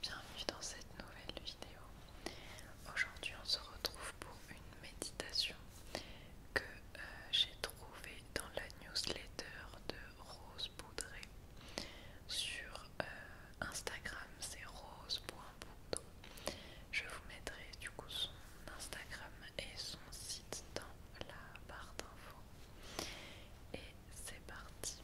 Bienvenue dans cette nouvelle vidéo. Aujourd'hui on se retrouve pour une méditation que euh, j'ai trouvée dans la newsletter de Rose Boudré sur euh, Instagram, c'est rose.boudre. Je vous mettrai du coup son Instagram et son site dans la barre d'infos. Et c'est parti.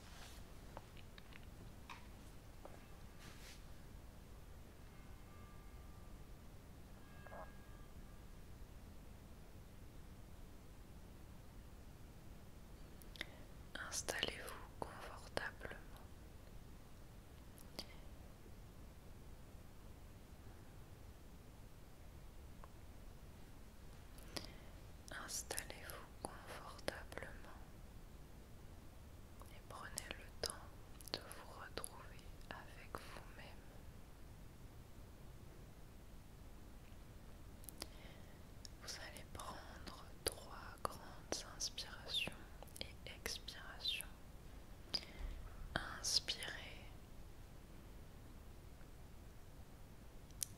Installez-vous confortablement. Installez-vous confortablement et prenez le temps de vous retrouver avec vous-même. Vous allez prendre trois grandes inspirations et expirations Inspirez.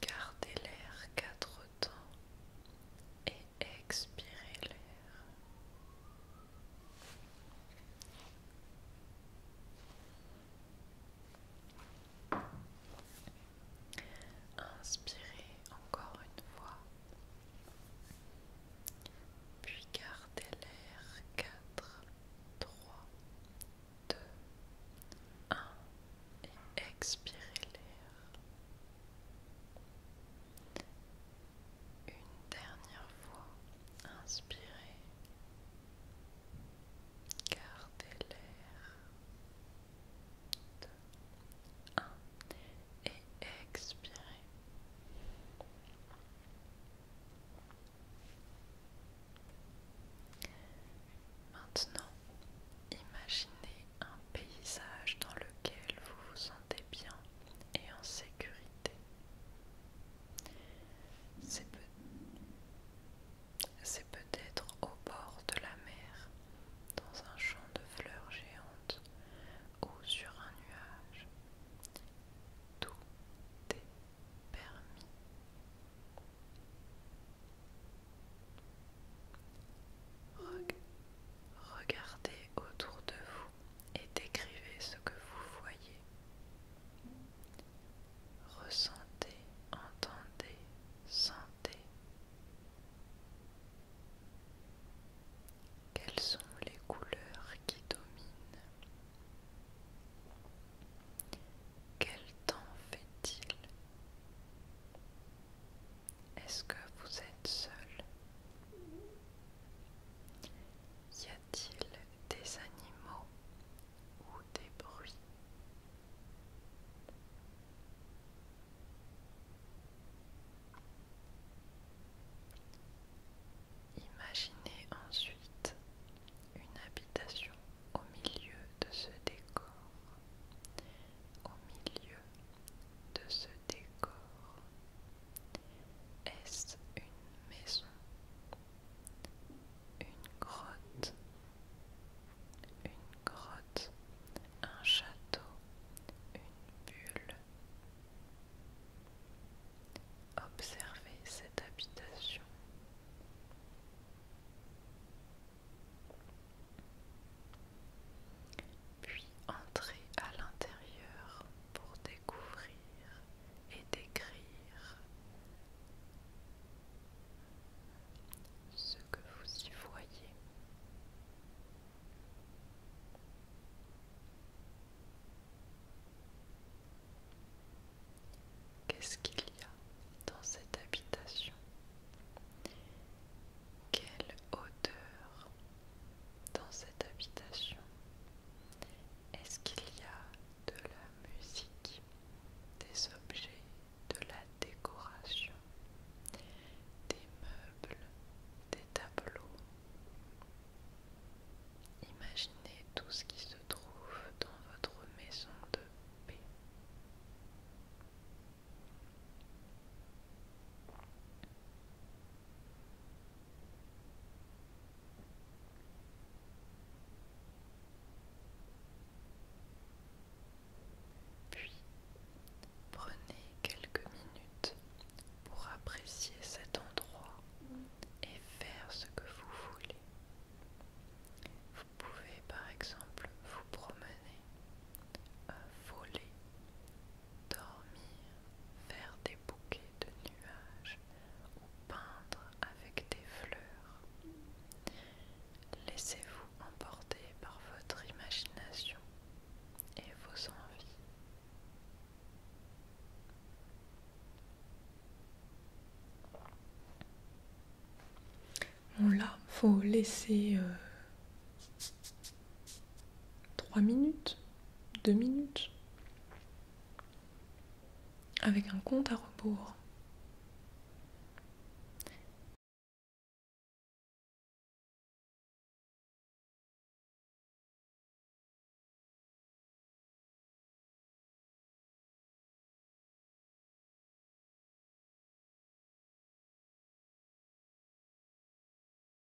Gardez l'air quatre temps et expirez l'air. Inspirez encore une fois puis gardez l'air 4, 3, 2, 1 et expirez l'air. Une dernière fois, inspirez. Gardez l'air. 2, 1 et expirez. Maintenant, imaginez un paysage dans lequel vous vous sentez bien et en sécurité. C'est peut-être au bord de la mer, dans un champ de fleurs géantes ou sur un nuage. Tout est permis. regardez autour de vous et décrivez ce que vous voyez. Ressentez, entendez, sentez. Quelles sont les couleurs qui dominent Quel temps fait-il Est-ce que vous êtes seul Y a-t-il des animaux ou des bruits Imaginez ensuite une habitation au milieu de ce décor, au milieu de ce décor. Est-ce une maison, une grotte une grotte, un château, une bulle. Observez cette habitation. Puis entrez à l'intérieur pour découvrir et décrire ce que vous y voyez. Qu'est-ce qu'il y a dans cette habitation Quelle odeur dans cette habitation Est-ce qu'il y a de la musique, des objets de la décoration, des meubles, des tableaux. Imaginez tout ce qui se trouve dans votre maison de paix. Puis, prenez quelques minutes pour apprécier cet endroit et faire ce que vous voulez. Vous pouvez par exemple vous promener, euh, voler, dormir, faire des bouquets de nuages, ou peindre avec des fleurs. Laissez-vous emporter par votre imagination et vos envies. Bon là, faut laisser euh, trois 3 minutes, 2 minutes avec un compte à rebours.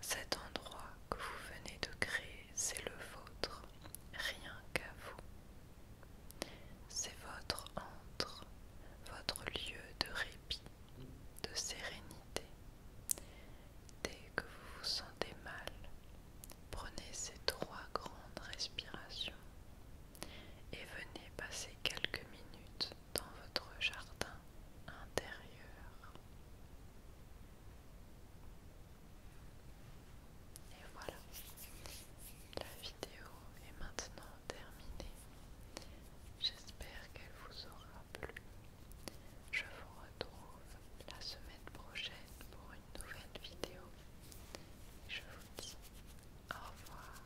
Cet endroit que vous venez de créer, c'est le vôtre, rien qu'à vous. C'est votre antre, votre lieu de répit, de sérénité. Dès que vous vous sentez mal, prenez ces trois grandes respirations et venez passer quelques minutes dans votre jardin intérieur. Et voilà, la vidéo est maintenant terminée. J'espère qu'elle vous aura plu. Je vous retrouve la semaine prochaine pour une nouvelle vidéo. Je vous dis au revoir.